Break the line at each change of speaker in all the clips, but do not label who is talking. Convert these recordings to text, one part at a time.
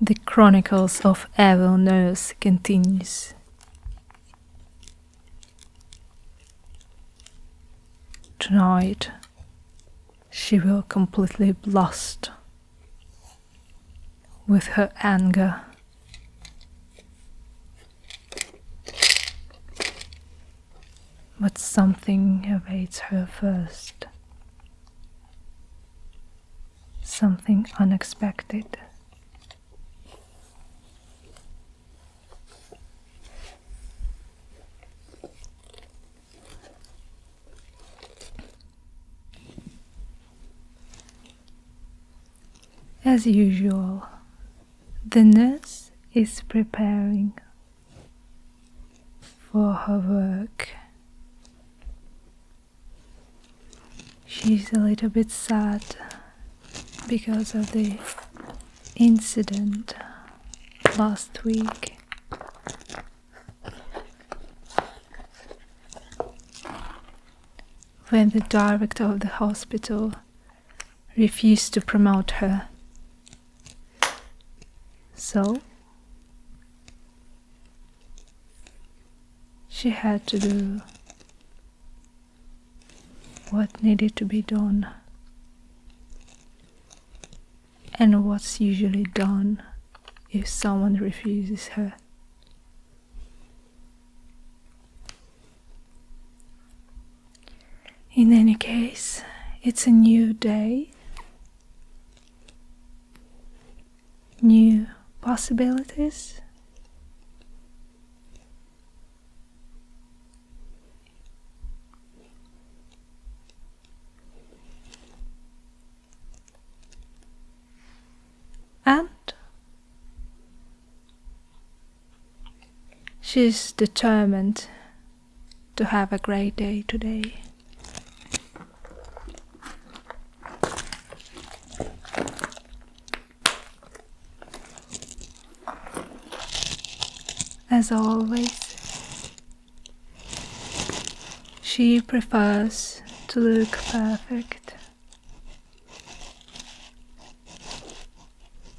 The Chronicles of Evil Nurse continues. Tonight, she will completely blast with her anger. But something evades her first something unexpected. As usual, the nurse is preparing for her work. She's a little bit sad because of the incident last week. When the director of the hospital refused to promote her so she had to do what needed to be done and what's usually done if someone refuses her. In any case, it's a new day new possibilities. And she's determined to have a great day today. As always, she prefers to look perfect.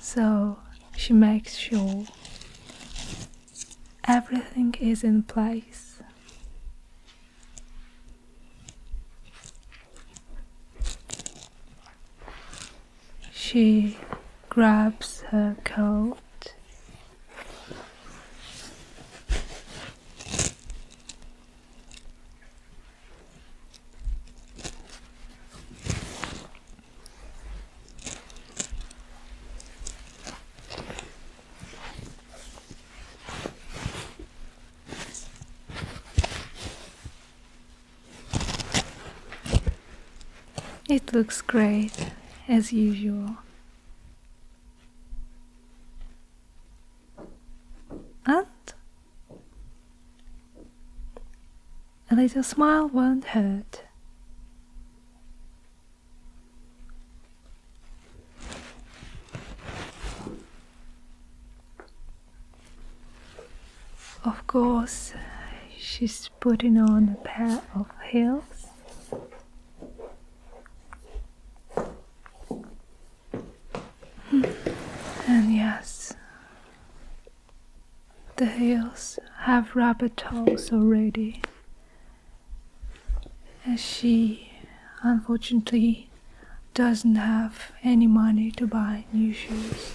So she makes sure Everything is in place. She grabs her coat. It looks great as usual. And a little smile won't hurt. Of course, uh, she's putting on a pair of heels. Hmm. And yes, the heels have rubber toes already, as she unfortunately doesn't have any money to buy new shoes.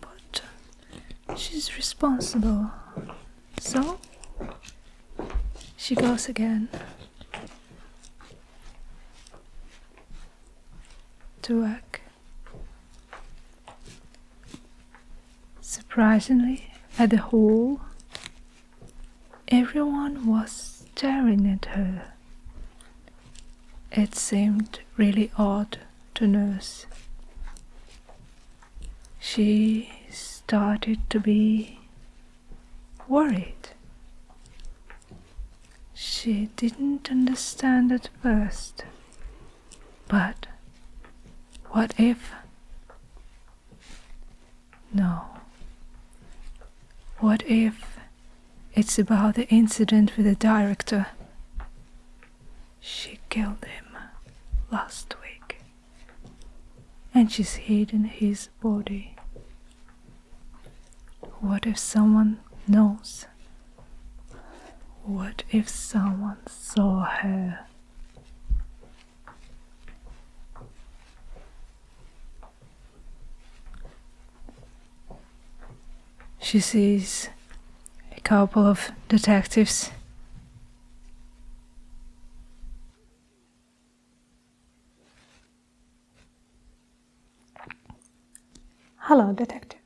But uh, she's responsible, so she goes again to work. Surprisingly, at the hall, everyone was staring at her. It seemed really odd to nurse. She started to be worried she didn't understand at first. But what if? No. What if it's about the incident with the director? She killed him last week. And she's hidden his body. What if someone knows? What if someone saw her? She sees a couple of detectives. Hello, detective.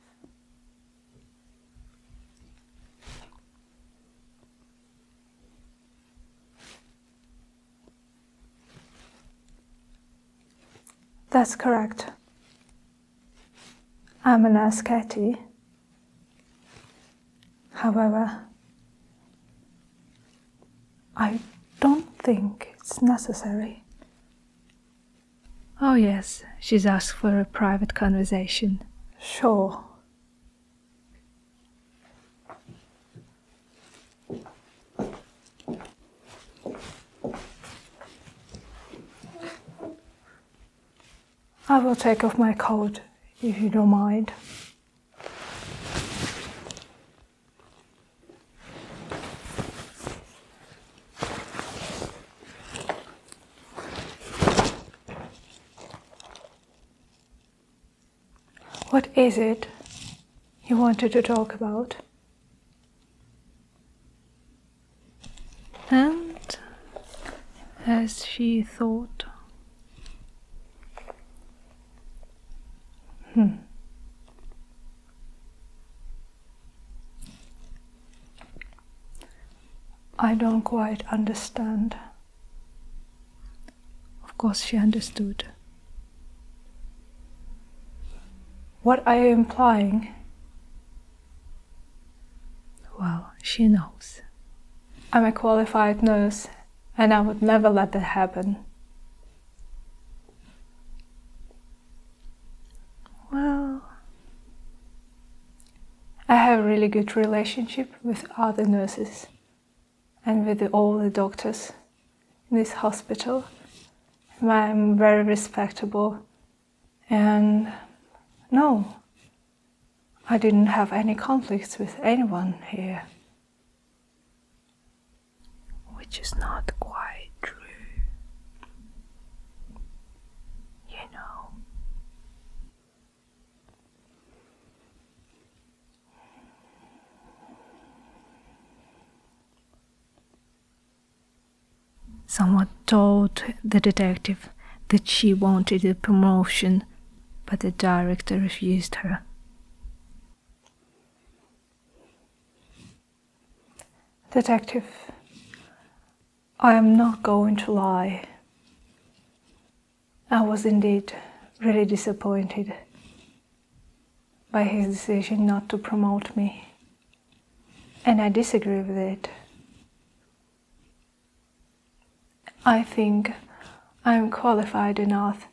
That's correct. I'm an Katie. However, I don't think it's necessary Oh, yes, she's asked for a private conversation. Sure. I will take off my coat if you don't mind. What is it you wanted to talk about? And as she thought, hmm, I don't quite understand. Of course, she understood. What are you implying? Well, she knows. I'm a qualified nurse, and I would never let that happen. Well, I have a really good relationship with other nurses and with all the doctors in this hospital. I'm very respectable and no, I didn't have any conflicts with anyone here. Which is not quite true you know. Someone told the detective that she wanted a promotion, but the director refused her. Detective, I am not going to lie. I was indeed really disappointed by his decision not to promote me, and I disagree with it. I think I am qualified enough,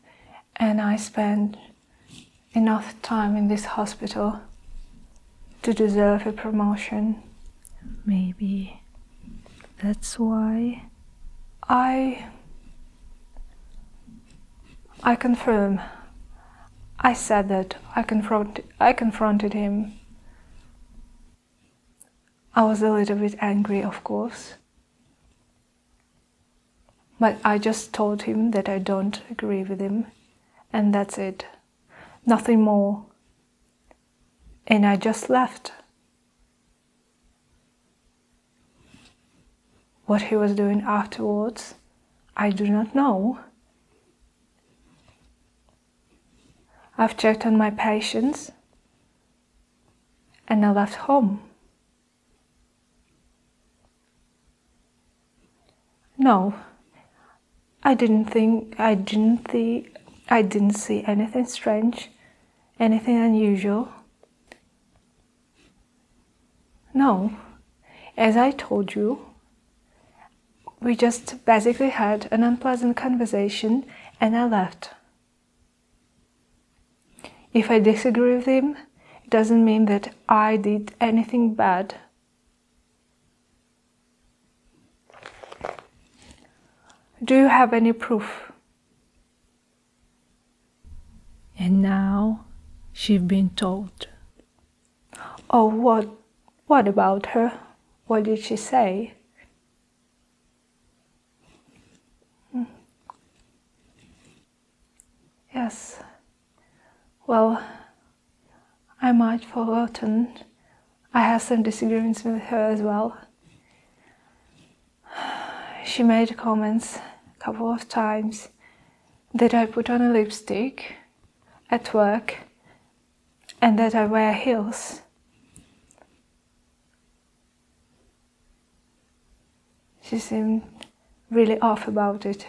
and I spend enough time in this hospital to deserve a promotion. Maybe that's why. I. I confirm. I said that. I, confront, I confronted him. I was a little bit angry, of course. But I just told him that I don't agree with him, and that's it nothing more. And I just left. What he was doing afterwards, I do not know. I've checked on my patients and I left home. No, I didn't think I didn't see I didn't see anything strange, anything unusual. No, as I told you, we just basically had an unpleasant conversation and I left. If I disagree with him, it doesn't mean that I did anything bad. Do you have any proof? And now she's been told. Oh, what, what about her? What did she say? Hmm. Yes. Well, I might have forgotten. I had some disagreements with her as well. She made comments a couple of times that I put on a lipstick at work and that I wear heels. She seemed really off about it.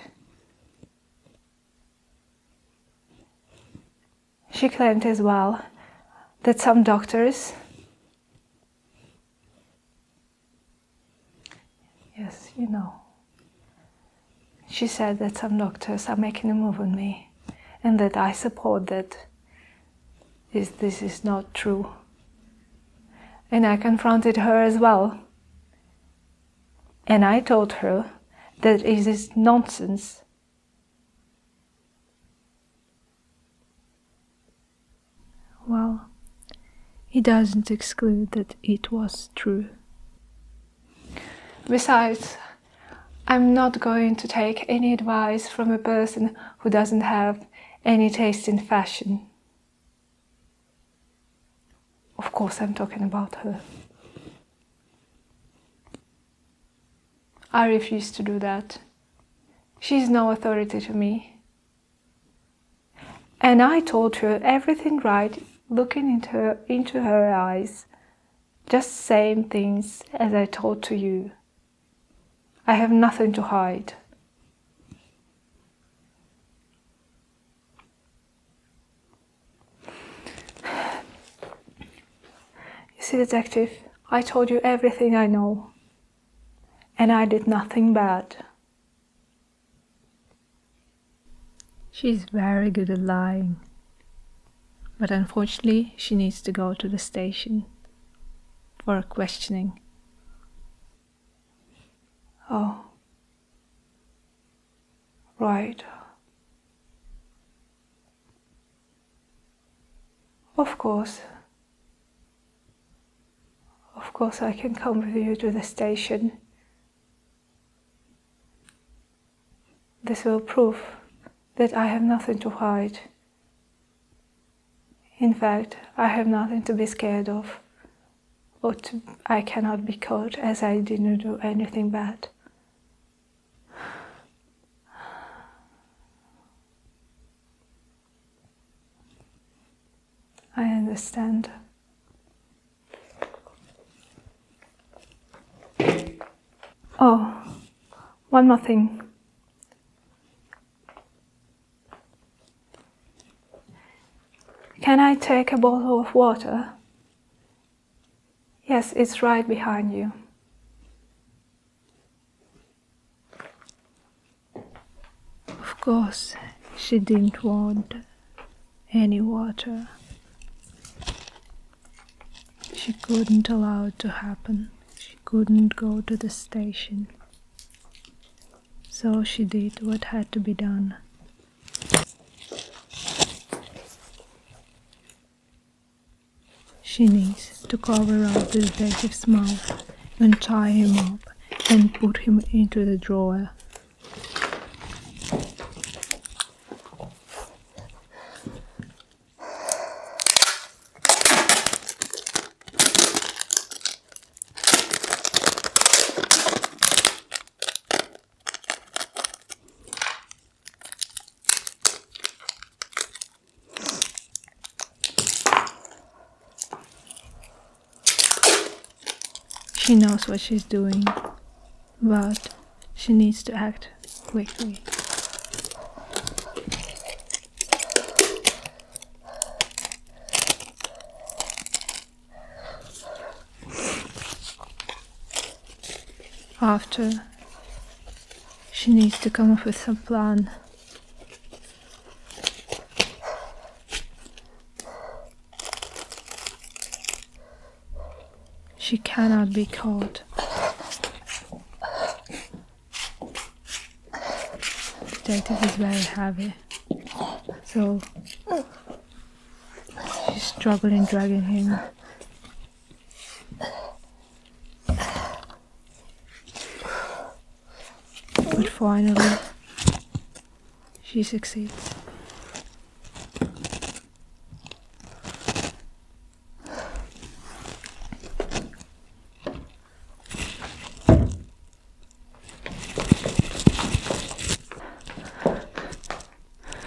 She claimed as well that some doctors Yes, you know. She said that some doctors are making a move on me and that I support that this, this is not true. And I confronted her as well. And I told her that it is nonsense well, he doesn't exclude that it was true. Besides, I'm not going to take any advice from a person who doesn't have any taste in fashion. Of course, I'm talking about her. I refuse to do that. She's no authority to me. And I told her everything right, looking into her, into her eyes, just same things as I told to you. I have nothing to hide. You see, detective, I told you everything I know. And I did nothing bad. She's very good at lying. But unfortunately, she needs to go to the station for questioning. Oh. Right. Of course. Of course, I can come with you to the station. This will prove that I have nothing to hide. In fact, I have nothing to be scared of, or I cannot be caught as I didn't do anything bad. I understand. Oh, one more thing. Can I take a bottle of water? Yes, it's right behind you. Of course, she didn't want any water. She couldn't allow it to happen. She couldn't go to the station. So she did what had to be done. She needs to cover up this baby's mouth and tie him up and put him into the drawer. She knows what she's doing, but she needs to act quickly. After she needs to come up with some plan. She cannot be caught. Detective is very heavy, so she's struggling dragging him but finally, she succeeds.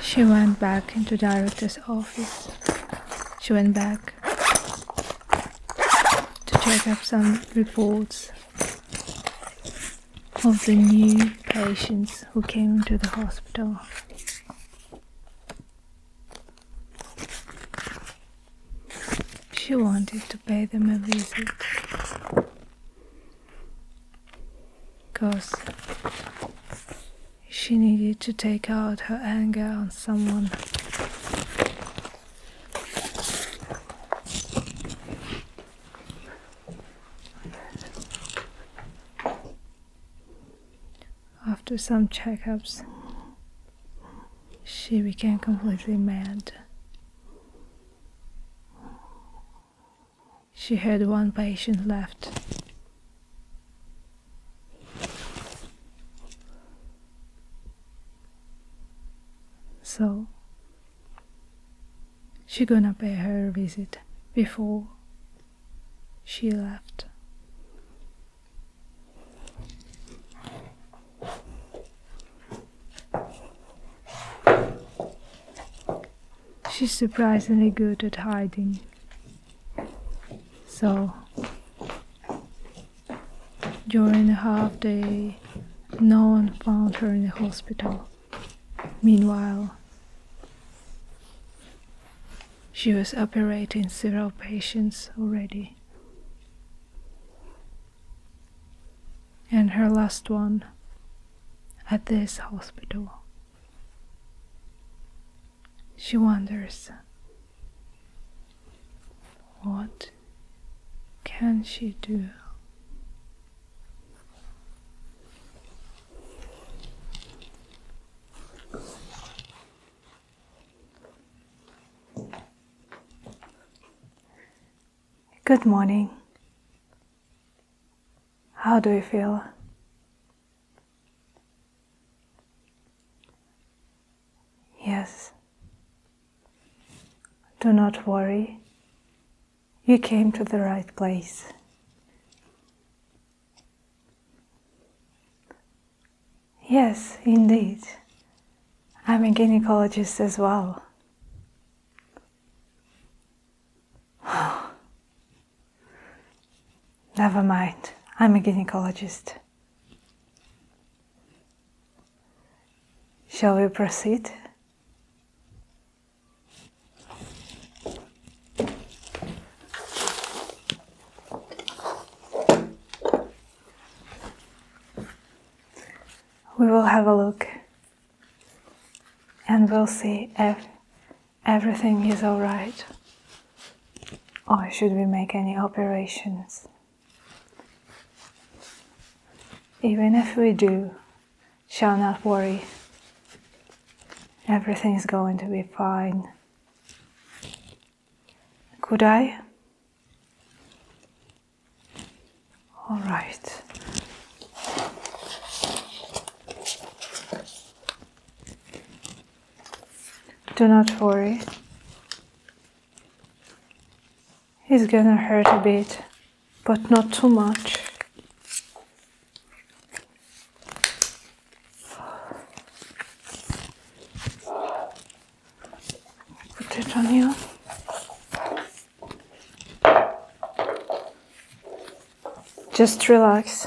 She went back into director's office. She went back to check up some reports of the new patients who came to the hospital. She wanted to pay them a visit because she needed to take out her anger on someone. After some checkups, she became completely mad. She had one patient left. So she gonna pay her visit before she left. She's surprisingly good at hiding. So during the half day, no one found her in the hospital. Meanwhile, she was operating several patients already. And her last one at this hospital. She wonders what can she do? Good morning. How do you feel? Yes. Do not worry. You came to the right place. Yes, indeed. I'm a gynecologist as well. Never mind, I'm a gynecologist. Shall we proceed? We will have a look and we'll see if everything is alright or should we make any operations? Even if we do, shall not worry. Everything is going to be fine. Could I? All right. Do not worry. It's gonna hurt a bit, but not too much. Put it on you. Just relax.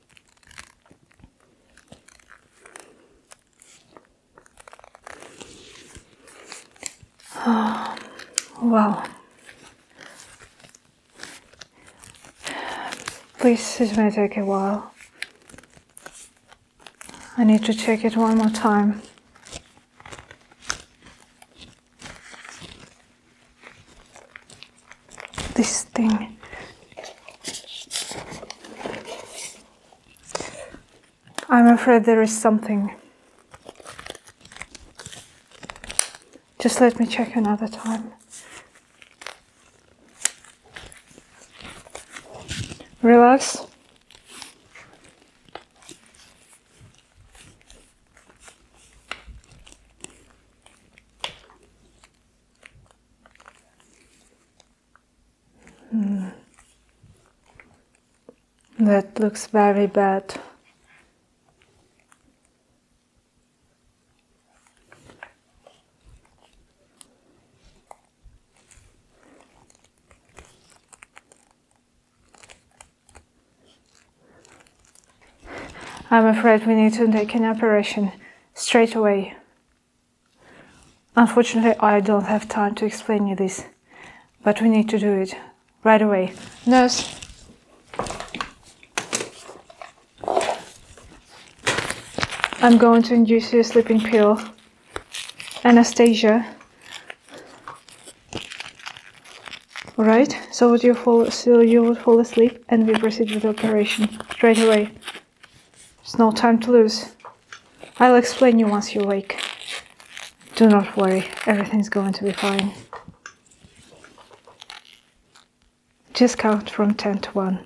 Oh, wow. This is going to take a while. I need to check it one more time this thing. I'm afraid there is something. Just let me check another time. Relax. Hmm. That looks very bad. I'm afraid we need to take an operation straight away. Unfortunately, I don't have time to explain you this, but we need to do it right away. Nurse. I'm going to induce you a sleeping pill. Anastasia. Alright, so would you fall so you would fall asleep? and we proceed with the operation straight away. There's no time to lose. I'll explain you once you wake. Do not worry, everything's going to be fine. Just count from 10 to 1.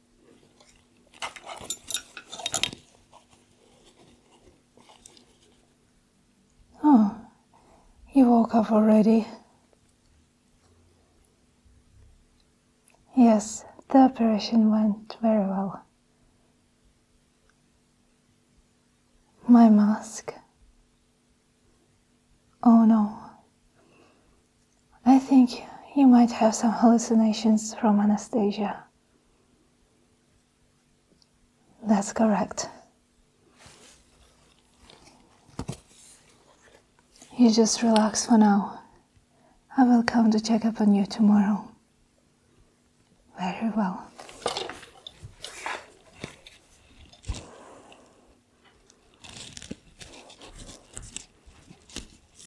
Oh, you woke up already. Yes, the operation went very well. My mask. Oh no, I think you might have some hallucinations from Anastasia. That's correct. You just relax for now. I will come to check up on you tomorrow. Very well.